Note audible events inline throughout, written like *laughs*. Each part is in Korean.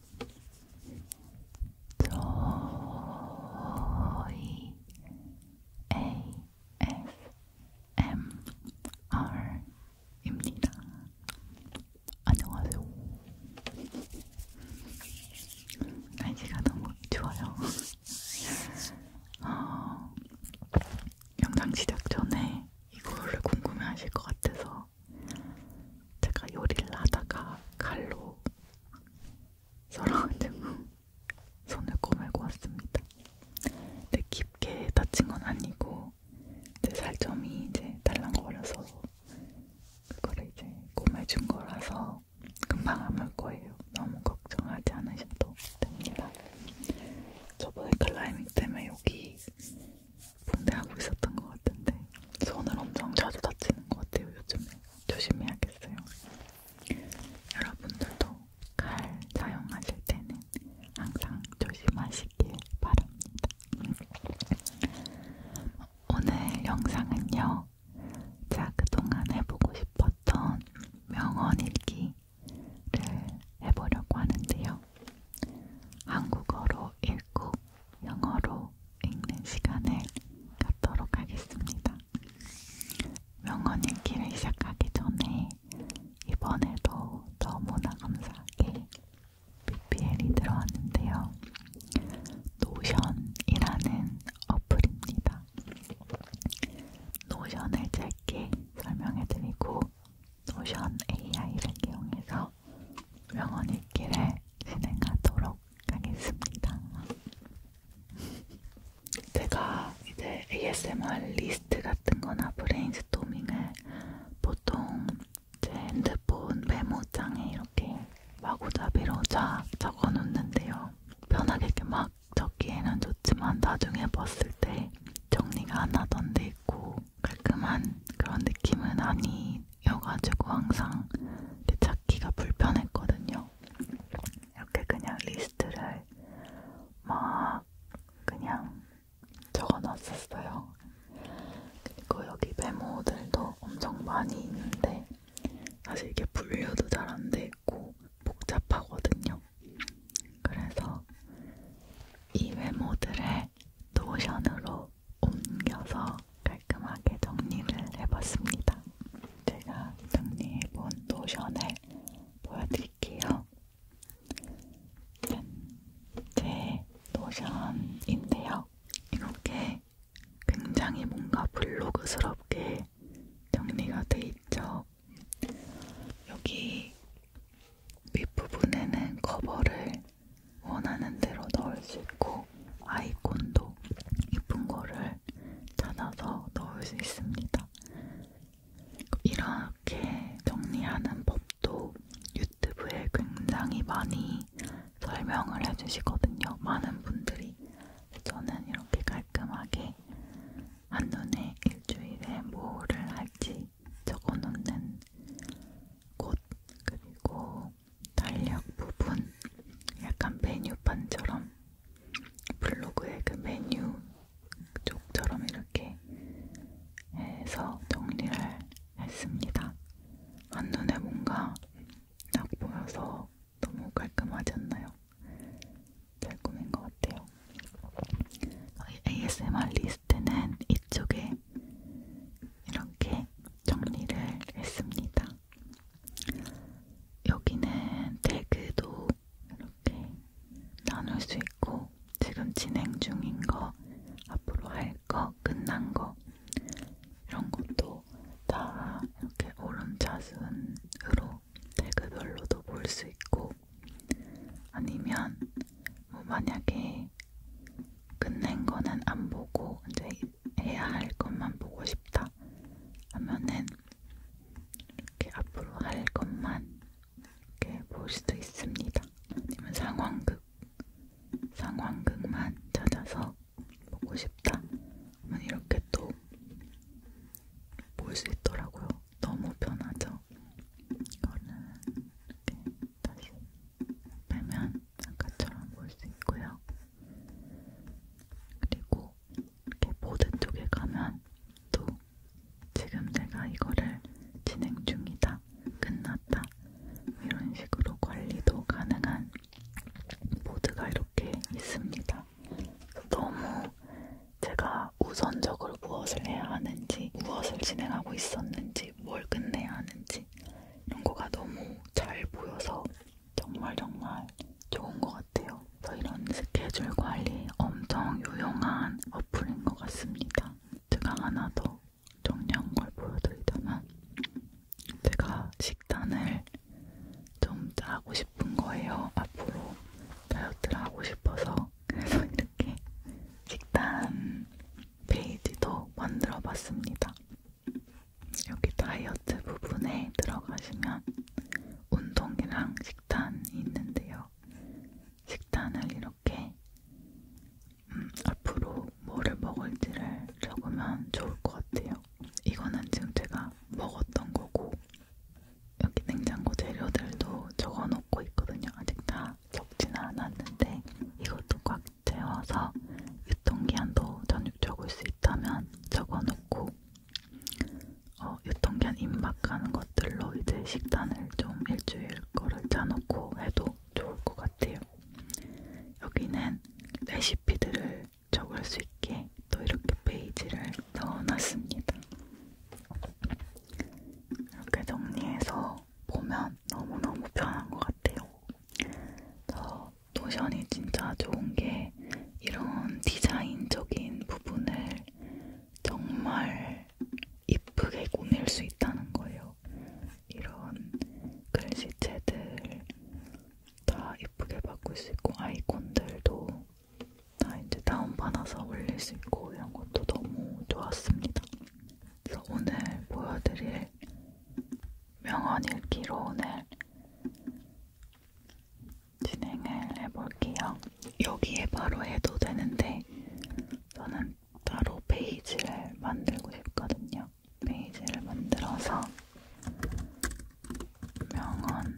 저희 ASMR입니다. 안녕하세요. 날씨가 너무 좋아요. 어, 영상 시작 전에 이거를 궁금해하실 것 같아서 있어요. 제가 요리를 하다가 칼로 썰어가지고 *laughs* 손을 꼬매고 왔습니다. 근데 깊게 다친 건 아니고 제 살점이 이제 달랑거려서 그거를 이제 꼬매준 거라서 금방 아물 거예요. 너무 걱정하지 않으셔도 됩니다. 저번에 클라이밍 때문에 여기 분대하고 있었던 것 같은데 손을 엄청 자주 다치는 것 같아요 요즘에 조심해야겠어요. 여러분들도 칼 사용하실 때는 항상 조심하시길 바랍니다. 오늘 영상은요. 자, 그동안 해보고 싶었던 명언일기를 해보려고 하는데요. 한국어로 읽고 영어로 읽는 시간을 갖도록 하겠습니다. 명언 읽기를 시작하기 전에 이번에도 너무나 감사하게 BPL이 들어왔는데요. 노션이라는 어플입니다. 노션을 짧게 설명해드리고 노션 AI를 이용해서 있어서 명언의 길에 진행하도록 하겠습니다. 제가 이제 ASMR 리스트 같은 거나 브레인스토밍을 보통 제 핸드폰 메모장에 이렇게 마구잡이로 자 적어 놓는데요. 편하게 이렇게 막 적기에는 좋지만 나중에 봤을 때 정리가 안 하던 데 있고 깔끔한 그런 느낌은 아니여가지고 항상 찾기가 불편했거든요. 이렇게 그냥 리스트를 막 그냥 적어놨었어요. 그리고 여기 메모들도 엄청 많이 있는데 사실 이게 분류도 잘 안 돼 있고 복잡하거든요. 그래서 이 메모들을 잘 네, 노션으로 옮겨서 깔끔하게 정리를 해봤습니다. 제가 정리해본 노션을 보여드릴게요. 제 노션인데요. 이렇게 굉장히 뭔가 블로그스럽게 정리가 돼 있죠. 여기 윗부분에는 커버를 이렇게 원하는 대로 넣을 수 있고 아이콘도 예쁜 거를 찾아서 넣을 수 있습니다. 이렇게 정리하는 법도 유튜브에 굉장히 많이 설명을 해주시거든요. 많은 분들이 저는 이렇게 깔끔하게 한눈에 일주일에 뭐를 할지 적어놓는 곳 그리고 달력 부분 약간 메뉴판처럼 블로그의 그 메뉴 쪽처럼 이렇게 해서 정리를 했습니다. 한눈에 뭔가 딱 보여서 너무 깔끔하지 않나요? 잘 꾸민 것 같아요. ASMR 리스트는 이쪽에 이렇게 정리를 했습니다. 여기는 태그도 이렇게 나눌 수 있고 지금 진행 중인 거, 앞으로 할 거, 끝난 거 이런 것도 다 이렇게 오른자순으로 태그별로도 볼 수 있고 아니면 뭐 만약에 끝낸 거는 안 보고 이제 해야 할 것만 보고 싶다 하면은 이렇게 앞으로 할 것만 이렇게 볼 수도 있습니다. 아니면 상황극 상황극만 찾아서 보고 싶다. 하면 이렇게 또 볼 수 있더라고요. 너무 편하죠. 이거는 이렇게 다시 빼면 아까처럼 볼 수 있고요. 그리고 이렇게 보드 쪽에 가면 또 지금 내가 이거를 진행 중이다, 끝났다 이런 식으로 관리도 가능한 보드가 이렇게 있습니다. 너무 제가 우선적으로 무엇을 해야 하는지, 무엇을 진행하고 있었는지, 뭘 끝내야 하는지 있는지 이런 거가 너무 잘 보여서 정말 정말 좋은 것 같아요. 그래서 이런 스케줄 관리 엄청 유용한 어플인 것 같습니다. 제가 하나 더 정리한 걸 보여드리자면 제가 식단을 좀 짜고 싶은 거예요. 앞으로 다이어트를 하고 싶어서 그래서 이렇게 식단 페이지도 만들어 봤습니다. 여기 다이어트 부분에 들어가시면 운동이랑 식단이 있는데요. 식단을 이렇게 음, 앞으로 뭐를 먹을지를 적으면 좋을 것 같아요. 이거는 지금 제가 먹었던 거고 여기 냉장고 재료들도 적어놓고 있거든요. 아직 다 적지는 않았는데 이것도 꽉 채워서 유통기한도 전육적일 수 있다면 적어놓고 어, 유통기한 임박하는 것들로 이제 식단을 좀 일주일 거를 짜놓고 해도 좋을 것 같아요. 여기는 레시피들을 적을 수 있게 또 이렇게 페이지를 넣어놨습니다. 이렇게 정리해서 보면 일단 너무너무 편한 것 같아요. 저 노션이 진짜 좋은 게 이런 디자인적인 부분을 정말 이쁘게 꾸밀 수 있다는 거예요. 이런 글씨체들 다 이쁘게 바꿀 수 있고 아이콘들도 다 이제 다운받아서 올릴 수 있고 이런 것도 너무 좋았습니다. 그래서 오늘 보여드릴 명언 읽기로 오늘 진행을 해볼게요. 여기에 바로 해도 되는데 저는 따로 페이지를 만들고 싶거든요. 페이지를 만들어서 명언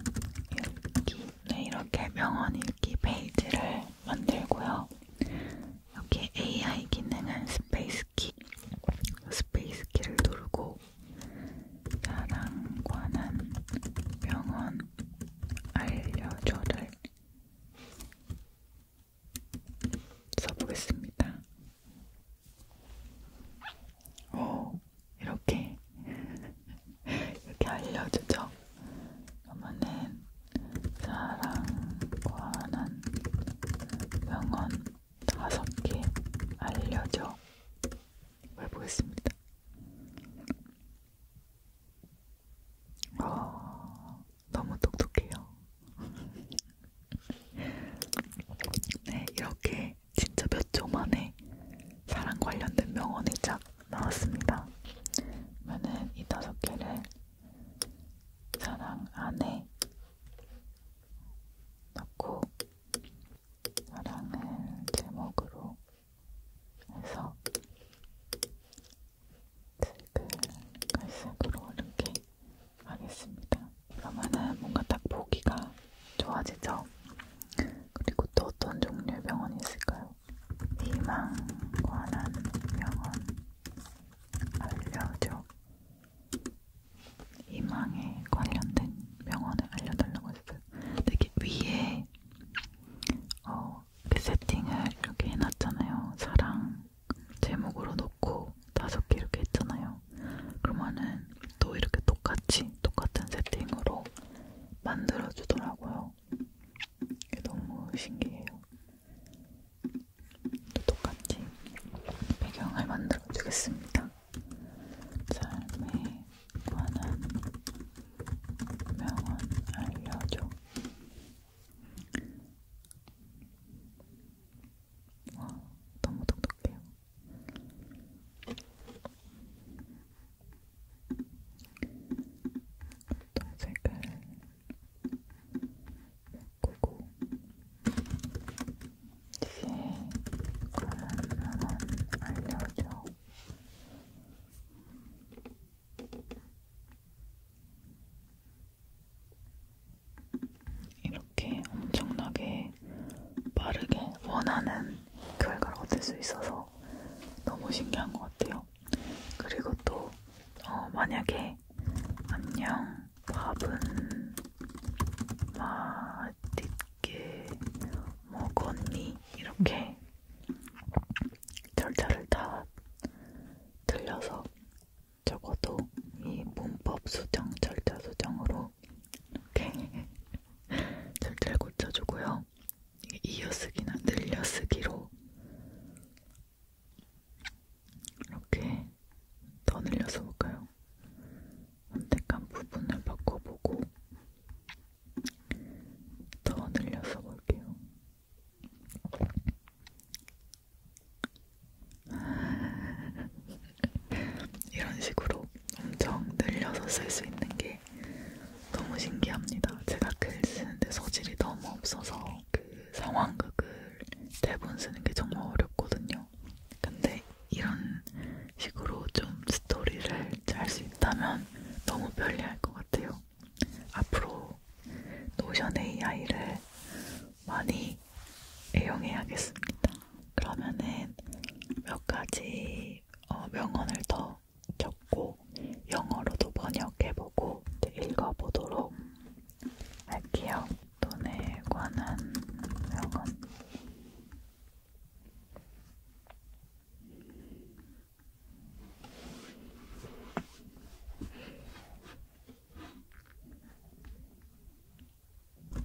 읽기 네, 이렇게 명언 읽기 페이지를 만들고요. 여기 AI 기능은 스페이스 스페이스키 스페이스키를 누르고 나랑 관한 병원 알려줘를 써보겠습니다. 오, 이렇게 이렇게 알려주죠. 그러면은 사랑과는 명언 다섯 개 알려줘. 해보겠습니다. 어, 너무 똑똑해요. *laughs* 네, 이렇게 진짜 몇 초 만에 사랑 관련된 명언이 쫙 나왔습니다. 그러면은 이 다섯 개를 사랑 안에 넣고 사랑을 제목으로 해서 색을 갈색으로 이렇게 하겠습니다. 그러면은 뭔가 딱 보기가 좋아지죠? 그리고 또 어떤 종류의 병원이 있을까요? 희망 관한 병원 알려줘 희망에 관련된 명언을 알려달라고 했어요. 되게 위에 어, 그 세팅을 이렇게 해놨잖아요. 사랑 제목으로 놓고 다섯 개 이렇게 했잖아요. 그러면은 또 이렇게 똑같이 똑같은 세팅으로 만들어주더라고요. 너무 신기해요. 또 똑같이 배경을 만들어주겠습니다. 삶에 관한 명언 알려줘. 와, 너무 똑똑해요. 또 색을 고고 뒤에 그러면 알려줘 이렇게 엄청나게 빠르게 원하는 결과를 얻을 수 있어서 너무 신기한 것 같아요. 그리고 또 어, 만약에 안녕 밥은 맛있게 먹었니? 이렇게 절차를 다 들려서 적어도 이 문법 수정 절차 수정으로 이렇게 *laughs* 절차를 고쳐주고요. 이어쓰기나 늘려쓰기로 이렇게 더 늘려서 볼까요? 선택한 부분을 바꿔보고 더 늘려서 볼게요. *laughs* 이런 식으로 엄청 늘려서 쓸 수 있는 게 너무 신기합니다. 제가 글 쓰는데 소질이 너무 없어서 그 상황극을 대본 쓰는 게 정말 어렵거든요. 근데 이런 식으로 좀 스토리를 짤 수 있다면 너무 편리할 것 같아요. 앞으로 노션 AI를 많이 애용해야겠습니다. 그러면은 몇 가지 어, 명언을 더 적고 영어로도 번역해보고 읽어보도록 할게요. 돈에 관한 명언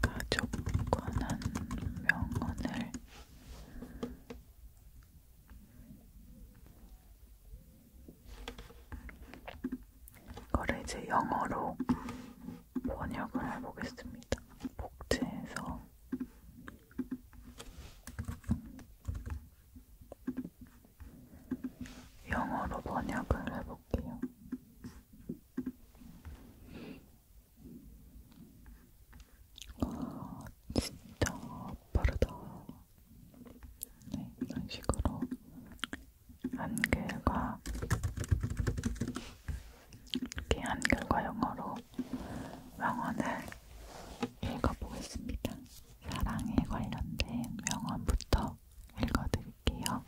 가족 관한 명언을 이거를 이제 영어로 번역을 해보겠습니다. 복제해서 영어로 번역을 해볼게요. 와, 아, 진짜 빠르다. 네, 이런 식으로 한글과 이렇게 한글과 영어로 명언을 읽어보겠습니다. 사랑에 관련된 명언부터 읽어드릴게요.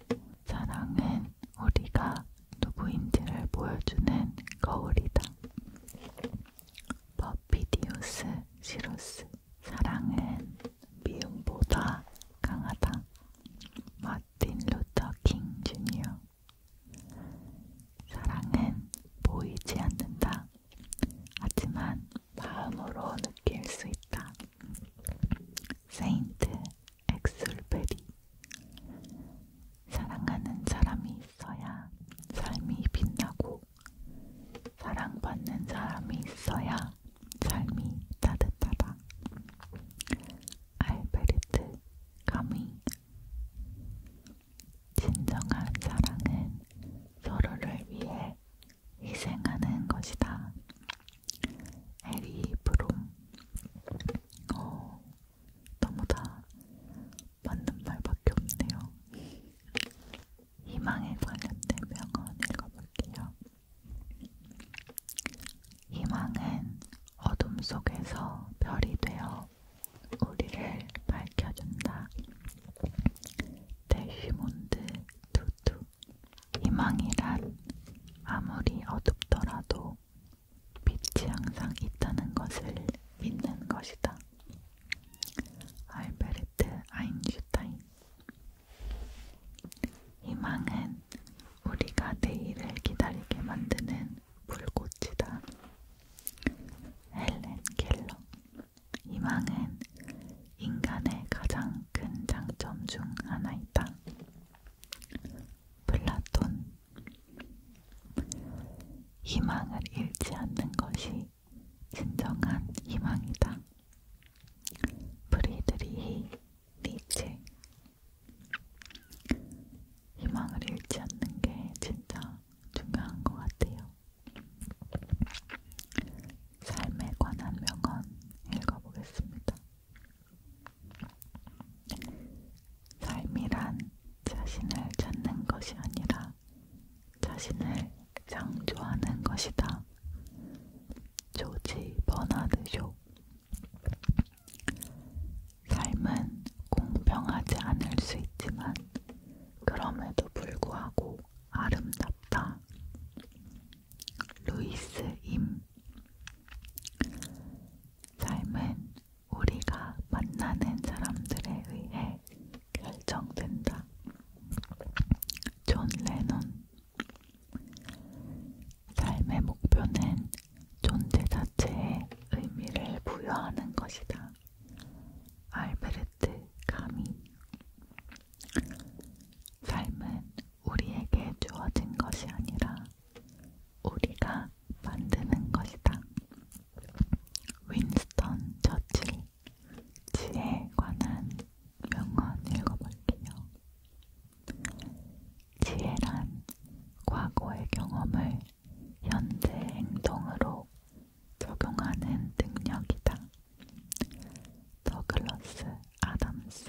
사랑은 우리가 누구인지를 보여주는 거울이다. 버피디우스 시로스 사랑은 미움보다 강하다. 마틴 루터 킹 주니어 사랑은 보이지 않는다. 하지만 마음으로 느낄 수 있다. 세인트 엑술베리 사랑하는 사람이 있어야 삶이 빛나고 사랑받는 사람이 있어야 삶이 따뜻하다. 알베르트 카미 진정한 사랑은 서로를 위해 희생하는 것이다. 에리 브롬 어, 너무 다 맞는 말밖에 없네요. 희망에 관련된 명언 읽어볼게요. 희망은 어둠 속에서 별이 되어 우리를 밝혀준다. 데시몬드 투투 희망이란 아무리 어둡더라도 빛이 항상 있다는 것을 믿는 것이다. 알베르트 아인슈타인 희망은 우리가 내일을 기다리게 만드는 불꽃이다. 헬렌 켈러 희망은 인간의 가장 큰 장점 중 하나이다. 플라톤 희망을 잃지 않는 것이 진정한 희망이다. 프리드리히 니체 희망을 잃지 않는 게 진짜 중요한 것 같아요. 삶에 관한 명언 읽어보겠습니다. 삶이란 자신을 찾는 것이 아니라 자신을 창조하는 것이다. 조지 버나드 쇼 삶은 공평하지 않을 수 있지만 그럼에도 불구하고 아름답다. 루이스 임 삶은 우리가 만나는 사람들에 의해 결정된다. 존 레논 삶의 목표는 존재 자체에 의미를 부여하는 것이다. 알베르트 카미 삶은 우리에게 주어진 것이 아니라 우리가 만드는 것이다. 윈스턴 처칠 지혜에 관한 명언 읽어볼게요. 지혜란 과거의 경험을 현재 행동으로 적용하는 능력이다. 더글러스 아담스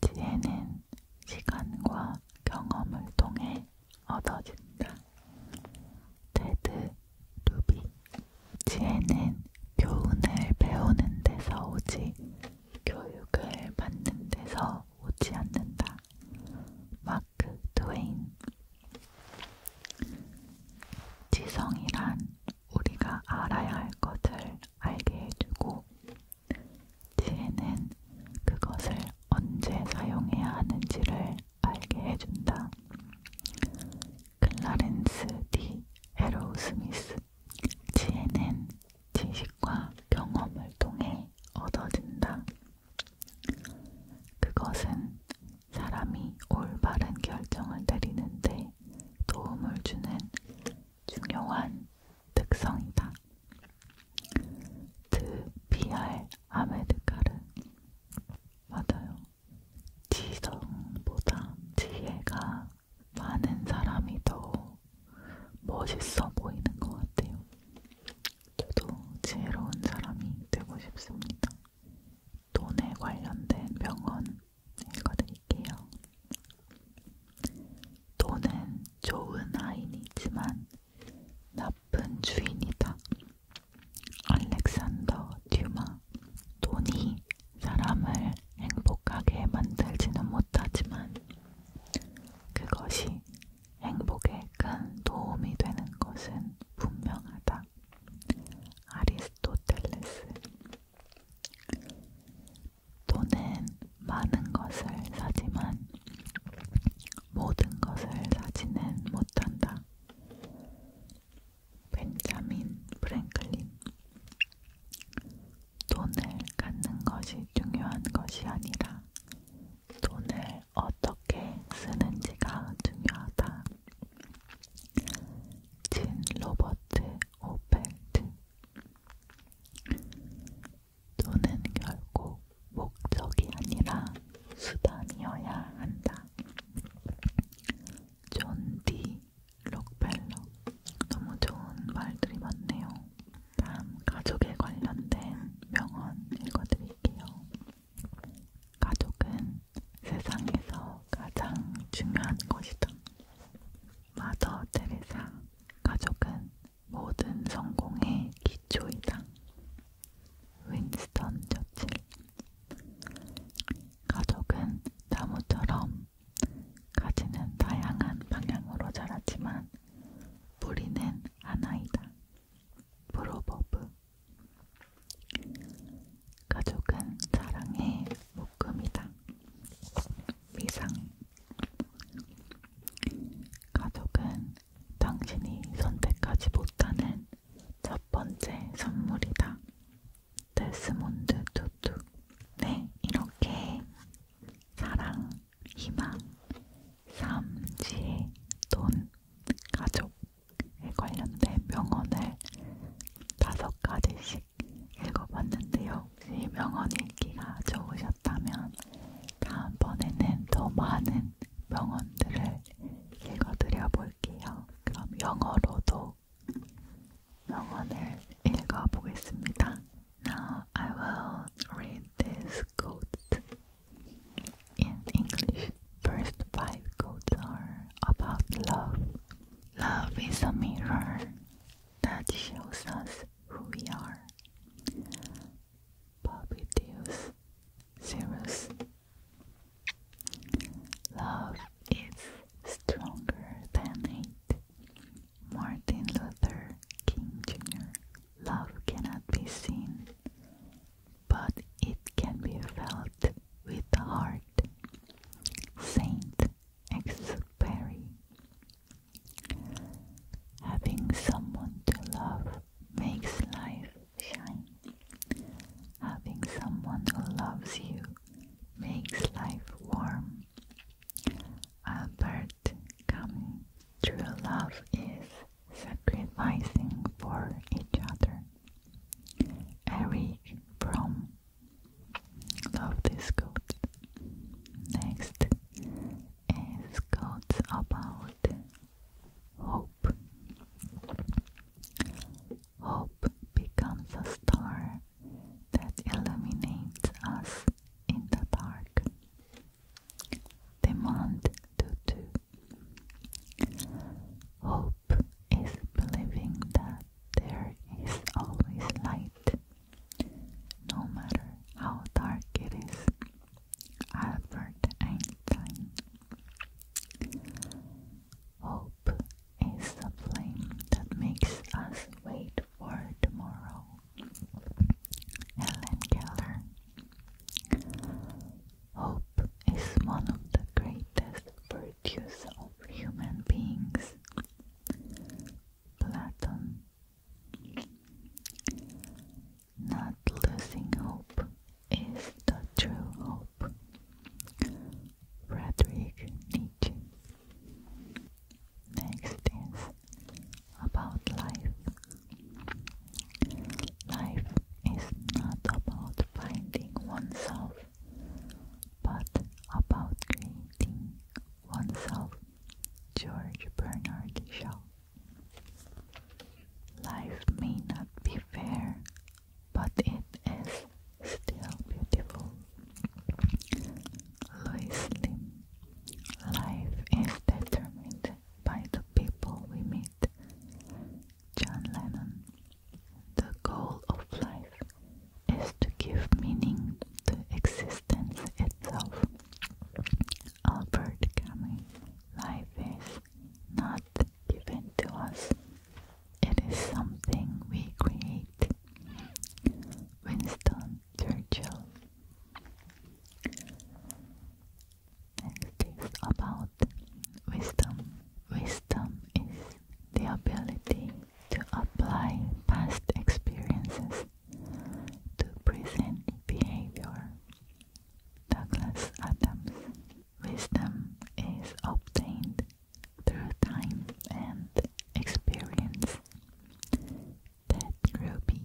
지혜는 시간과 경험을 통해 얻어진다. 테드 루비 지혜는 교훈을 배우는 데서 오지 교육을 받는 데서 오지 않는다. 마크 트웨인 지성이란 우리가 알아야 할 것을 알게 해주고 지혜는 그것을 언제 사용해야 하는지를 알게 해준다. 클라렌스 D. 에로우 스미스 지혜는 지식과 경험을 통해 얻어진다. 그것은 사람이 올바른 결정을 내리는데 도움을 주는 중요한 특성이다. 드 비알 아메드카르 맞아요. 지성보다 지혜가 많은 사람이 더 멋있어 보이는 것 같아요. 저도 지혜로운 사람이 되고 싶습니다. 돈에 관련된 명언 읽어드릴게요. 돈은 좋은 하인이지만 나쁜 주인이다. 알렉산더 듀마 돈이 사람을 행복하게 만들지는 못하지만 그것이 행복에 큰 도움이 되는 것은 분명하다. 아리스토텔레스 돈은 많은 것을 사지만 모든 것을 사지는 못한다. 벤자민 프랭클린 돈을 갖는 것이 중요한 것이 아니라 돈을 어떻게 쓰는지가 중요하다. 진 로버트 오펠트 돈은 결국 목적이 아니라 수단이어야 한다. 존 D. 록벨록 너무 좋은 말들이 많네요. 다음 가족에 관련된 명언 읽어드릴게요. 가족은 세상에서 가장 중요한 것이다. 마더 테레사 가족은 모든 성공의 기초이다. 윈스턴 저칠 가족은 나무처럼 가지는 다양한 방향으로 자라지만 뿌리는 하나이다. 프로버브 가족은 사랑의 묶음이다. 미상 가족은 당신이 선택하지 못하는 첫 번째 선물이다. 데스몬드 두두. 네, 이렇게 사랑, 희망, 삶, 지혜, 돈, 가족에 관련된 명언을 다섯 가지씩 읽어봤는데요. 혹시 명언 읽기가 좋으셨다면 다음번에는 더 많은 명언들을 읽어드려 볼게요. 그럼 영어로도 I will read these quotes in English. First five quotes are about love. Love is a mirror that shows us who we are. Bobby Deus, Cirrus. Love is stronger than hate. Martin Luther King Jr. Love cannot be seen, but it can be felt with the heart. Saint Exupery. Having someone to love makes life shine. Having someone who loves you makes life warm a bird coming. True love is sacrificing for each other. Eric from Love this quote. Next is quotes about hope. Hope becomes a star that illuminates us in the dark. Demand Tutu. Hope is believing that there is always light, no matter how dark it is. Albert Einstein. Hope is the flame that makes us wait for tomorrow. Ellen Keller. Hope is one of the greatest virtues of human beings. Platon. Not losing hope is the true hope. Frederick Nietzsche. Next is about life. Life is not about finding oneself, but about creating oneself. George Bernard Shaw. Life may not be fair, but it is still beautiful. Loosely, life is determined by the people we meet. John Lennon. The goal of life is to give meaning to existence itself. Albert Camus. Life is not given to us. It is something we create. Winston Churchill. Next is about wisdom. Wisdom is the ability to apply past experiences to present behavior. Douglas Adams. Wisdom is obtained through time and experience. Ted Ruby.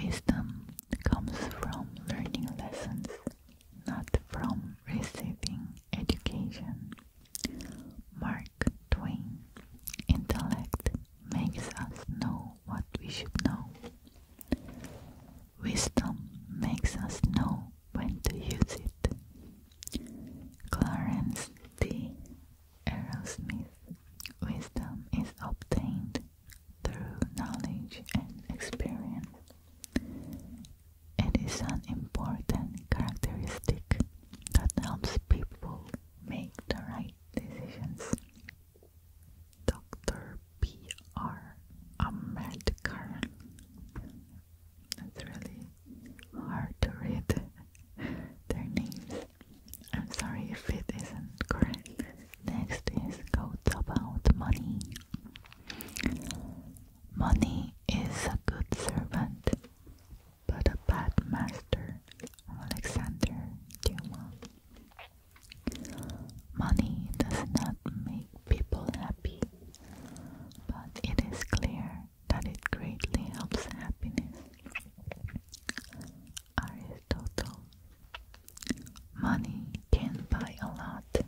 Wisdom comes from learning lessons, not from receiving education. Mark Twain. Intellect makes us know what we should know. Wisdom makes us know when to use it. Clarence D. Aerosmith Wisdom is obtained through knowledge and experience. It is an important characteristic that helps people make the right decisions. Dr. P. R. Ahmed it's really hard to read their names. I'm sorry if it isn't correct. Next is quotes about money. Money is a good servant, but a bad master. Alexander Dumas. Money does not make people happy, but it is clear that it greatly helps happiness. Aristotle Money can buy a lot,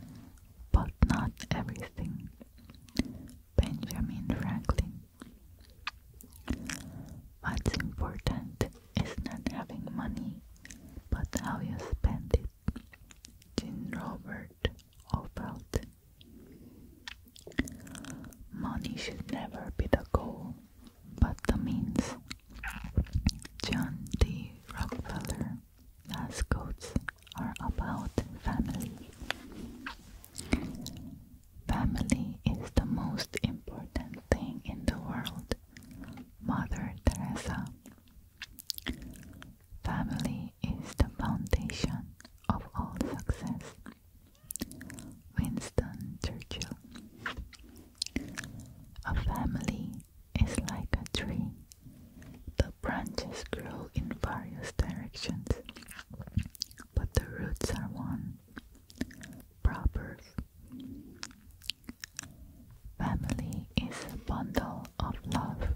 but not everything. Benjamin Franklin What's important is not having money, but how you spend it. Jean Robert part of Money should never be the goal, but the means. John D. Rockefeller quotes are about family. Family is the most important thing in the world. Mother Teresa. Family is the foundation of all success. Winston Churchill. A family is like a tree. The branches grow in various directions, but the roots are one. Proverbs. Family is a bundle of love,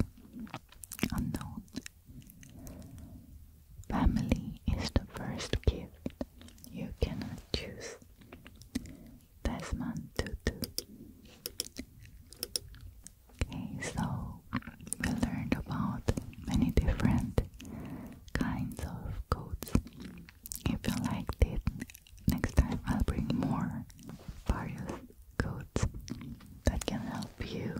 unknown Family is the first gift you cannot choose. Desmond Tutu. Okay, so we learned about many different kinds of coats. If you liked it, next time I'll bring more various coats that can help you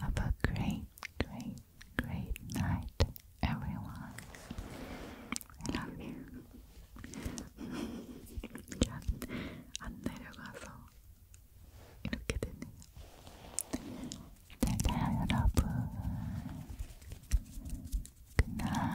Have a great, great, great night, everyone. I love you. 안 내려가서 이렇게 되네요. 잘자요 여러분. 굿나잇.